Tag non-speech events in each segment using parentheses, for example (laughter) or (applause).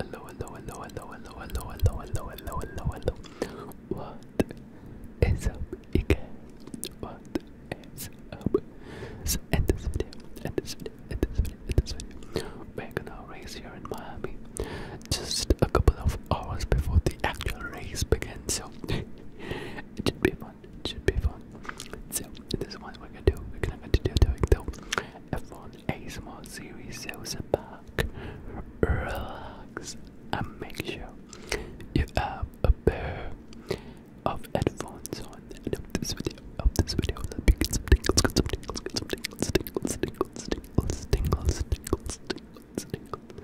Hello, hello, hello, hello, hello, hello, hello, hello, hello, hello, hello. What is up, you guys? What is up? So, in this video, in this video, in this video, in this video, we're gonna race here in Miami just a couple of hours before the actual race begins. So, (laughs) it should be fun, it should be fun. So, in this one, we're gonna do, we're gonna continue doing though. F1 ASMR series sales are back. Relax and make sure you have a pair of headphones on. And of this video, of this video, let me get some tingles, get some tingles, get some tingles, tingles, tingles, tingles, tingles, tingles, tingles, tingles.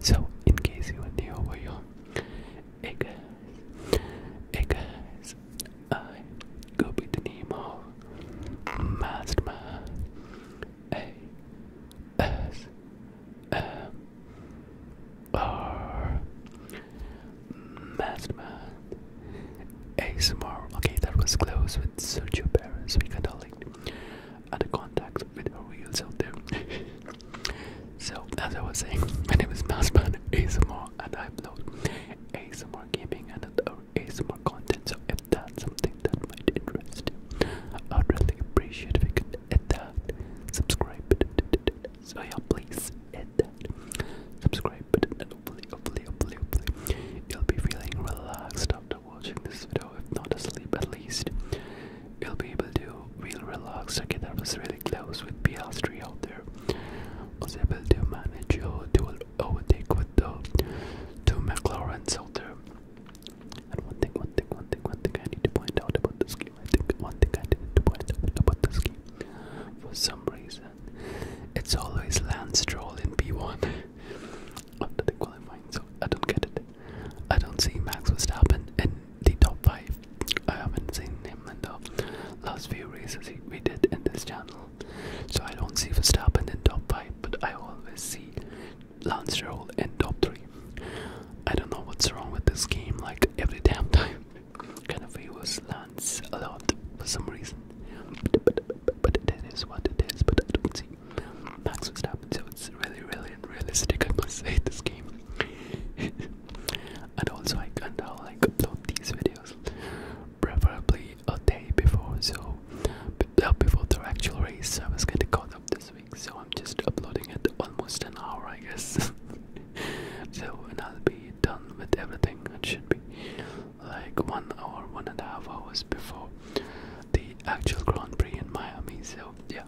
So, in case you are new over here, hey guys, hey guys, I go by the name of Masterman A S M R Masterman ASMR. Okay, that was close with Sergio Perez. We kind of like other contacts with our wheels out there. (laughs) so as I was saying, my name is Masterman ASMR and I upload ASMR gaming and other ASMR content. So if that's something that might interest you, I'd really appreciate if you could hit that. Subscribe button. So yeah, please hit that. Subscribe button and hopefully, hopefully, hopefully, hopefully you'll be feeling relaxed after watching this video. If not asleep at least. You'll be able to feel relaxed. Okay, that was really close with PS3 out there, was able to manage your dual overtake with the two McLarens out there. And one thing, one thing, one thing, one thing I need to point out about this game, I think one thing I need to point out about this game, for some reason, it's always Lance Stroll in B1 after (laughs) the qualifying, so I don't get it. I don't see Max Verstappen in the top 5 I haven't seen him in the last few races we did in this channel, so I don't see Verstappen in top 5, but I always see Lance Stroll in top 3. I don't know what's wrong with this game, like every damn time, (laughs) kind of favors Lance a lot for some reason. But, but, but, what it is, but I don't see Max Verstappen, so it's really, really unrealistic, I must say, this game. (laughs) and also, I can't tell upload these videos preferably a day before so uh, before the actual race I was getting caught up this week so I'm just uploading it almost an hour I guess (laughs) so when I'll be done with everything it should be like one hour one and a half hours before the actual Grand Prix in Miami so yeah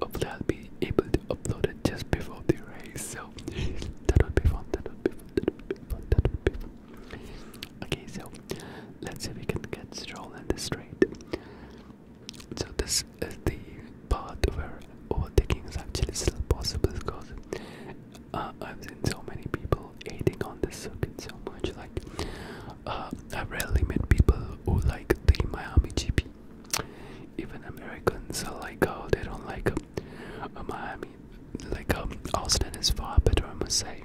Hopefully, I'll be able to upload it just before the race. So (laughs) that will be fun. That would be fun. That will be fun. That would be fun. Okay, so let's see if we can get Stroll in this straight. So this is the part where overtaking is actually still possible because uh, I've seen so many people eating on the circuit so much. Like, uh, I rarely meet people who like the Miami GP even Americans are like, oh, they don't like uh, um, um, Miami. Like um, Austin is far better, I must say.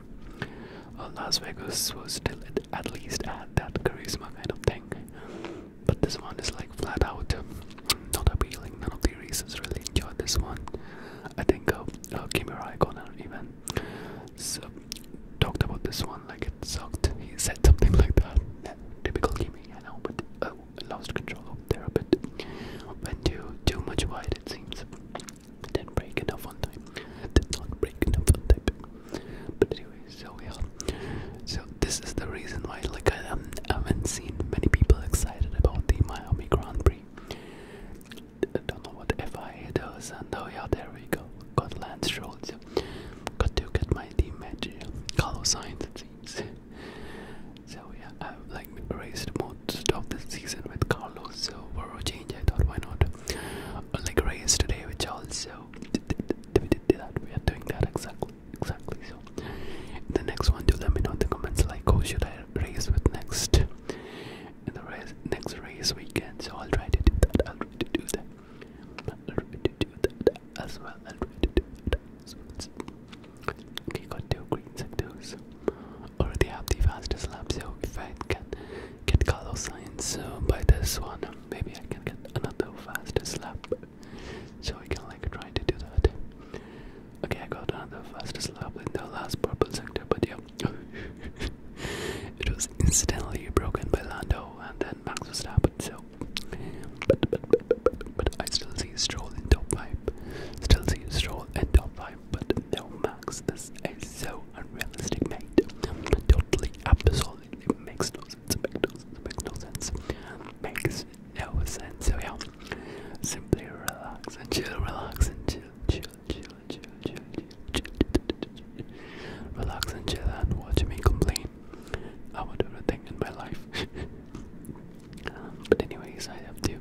Uh, Las Vegas was still at, least had that charisma kind of thing, but this one is like flat out um, not appealing. None of the racers really enjoyed this one. I think uh, uh, Kimi Raikkonen even so, talked about this one like it sucked. He said something (laughs) like that that typical gaming, I know, but oh, uh, I lost control over there a bit. Went too, too much wide, it seems. Didn't break enough on time. Did not break enough on time. But anyway, so we are. So this is the reason why, like, I um, haven't seen many people excited about the Miami Grand Prix. I don't know what if I does, and oh yeah, there we go. Got Lance Stroll, got to get my team match Carlo signed it seems. So yeah, I've like raced most of the season with Carlos, so for change I thought why not uh, like race today with Charles so we did that, we are doing that exactly exactly so the next one do let me know in the comments like who should I race with next in the race next race weekend so I'll try to do that I'll try to do that I'll to do that as well. I'll to do that Okay, got two green sectors. Already have the fastest lap, so if I can get Carlos Science so uh, by this one, maybe I can get another fastest lap. So I can like try to do that. Okay, I got another fastest lap in the last purple sector, but yeah. (laughs) it was incidentally broken by Lando and then Max Verstappen. So, but, but, but, but, but, but I still see Stroll in top five. Still see Stroll in top five. But no, Max, this is so unrealistic, mate. Totally, absolutely makes no sense. Makes no sense. Makes no sense. Makes no sense. So yeah, simply relax and chill, relax and chill, chill, chill, chill, chill, chill, chill, relax and chill and watch me complain about everything in my life. um, but anyways, I have to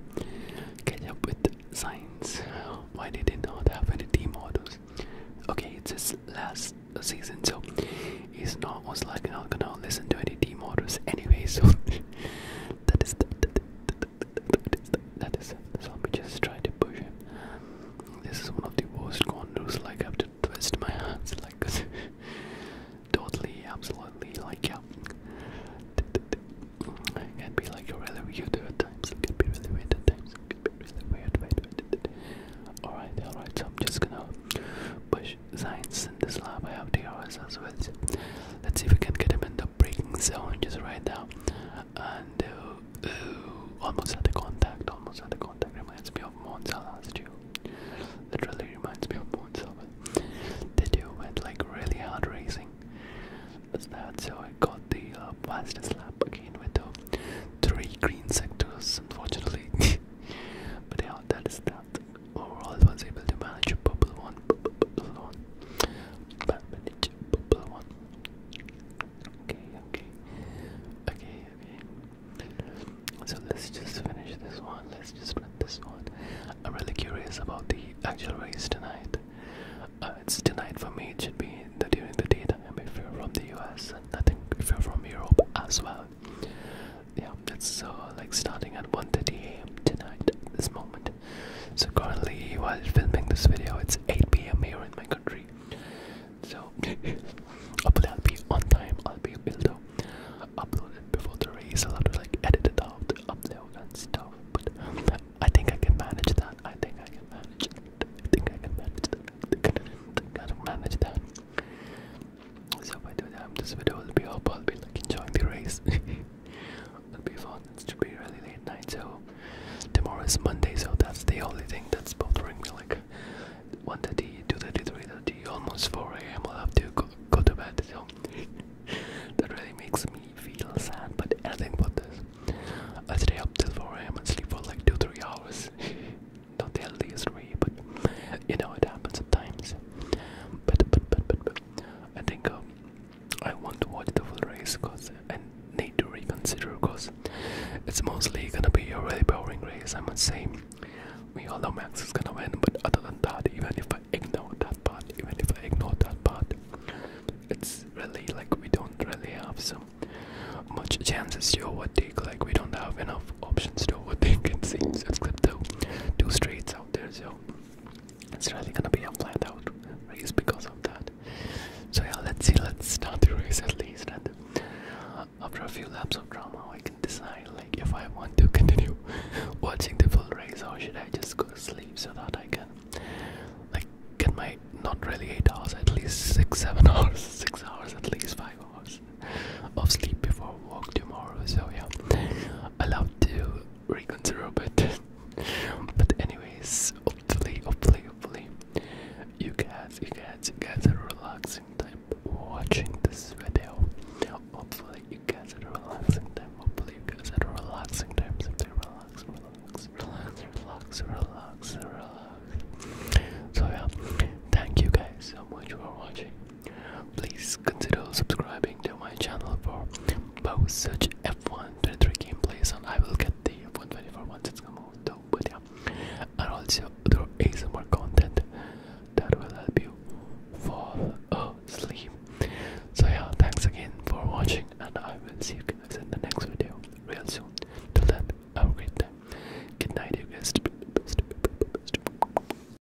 catch up with science. Why they did not have any team orders? Okay, it's his last season, so he's not most likely not gonna listen to any team orders anyway. So that is that. That is that. So let me just try to push him. This is one of the worst condos. like I have to twist my hands like (laughs) totally, absolutely, like yeah. It be like really weird at times, it can be really weird times, it be really weird, weird, Alright, alright, so I'm just gonna push science in this lab. I have DRS as well. Let's see if we can get him in the a breaking sound just right now. And uh, uh, almost had the contact, almost had the contact. Reminds me of Monza last year. Literally reminds me of Monza. Did you went like really hard racing? That's that. So I got the uh, fastest lap again with the three green sectors, unfortunately. (laughs) but yeah, that is that. Overall, I was able to manage a purple one, purple one. Okay, okay. Okay, okay. So let's just finish this one. Let's just print this one. I'm really curious about the actual race tonight. Uh, it's tonight for me. It should be the, during the daytime if you're from the US, and I think if you're from Europe as well. Yeah, it's so uh, like starting at 1:30 a.m. tonight. this moment. So currently, while filming this video, it's 8 p.m. here in my country. So (laughs) hopefully, I'll be on time. I'll be uploaded before the race. I'll have to like edit it out, upload and stuff. But I think I can manage that. I think I can manage. That. I think I can manage that. I think I can, manage that. So by the time this video will be up, I'll be like enjoying the race. (laughs) It'll be fun. It's to be really late night. So tomorrow is Monday. So that's the only thing that's bothering me. Like 1:30, 2:30, 3:30, almost 4 a.m. I'll have to go, go to bed. So (laughs) that really makes me feel sad. But anything but this. I stay up till 4 a.m. and sleep for like two, three hours. (laughs) Not the healthiest way, but you know it happens sometimes. But but but but, but I think um, I want to watch the full race because I need to reconsider because it's mostly gonna be a really boring race. I must say, we all know Max is gonna win, but other than that, even if I ignore that part, even if I ignore that part, it's really like we don't really have so much chances to overtake. Like we don't have enough options to overtake. It seems it's like two, two straights out there, so it's really gonna be a flat out race because of that. So yeah, let's see, let's start the race at least and after a few laps of drama I can decide like if I want to continue (laughs) watching the full race or should I just go to sleep so that I can like get my not really eight hours at least six seven (laughs) hours six hours at least five hours of sleep before work tomorrow so yeah allowed to reconsider a bit. (laughs) but anyways, hopefully, hopefully, hopefully, you guys, you guys, you guys are relaxing time watching this video. Hopefully, you guys are relaxing time. Hopefully, you guys are relaxing time. Simply relax, relax, relax, relax, relax, relax. So yeah, thank you guys so much for watching. Please consider subscribing to my channel for both such F1 23 gameplays and I will get the F1 24 once it's come out though, but yeah. And also there is more content that will help you fall asleep. So yeah, thanks again for watching and I will see you guys in the next video real soon. Till then, have a great time. Good night you guys.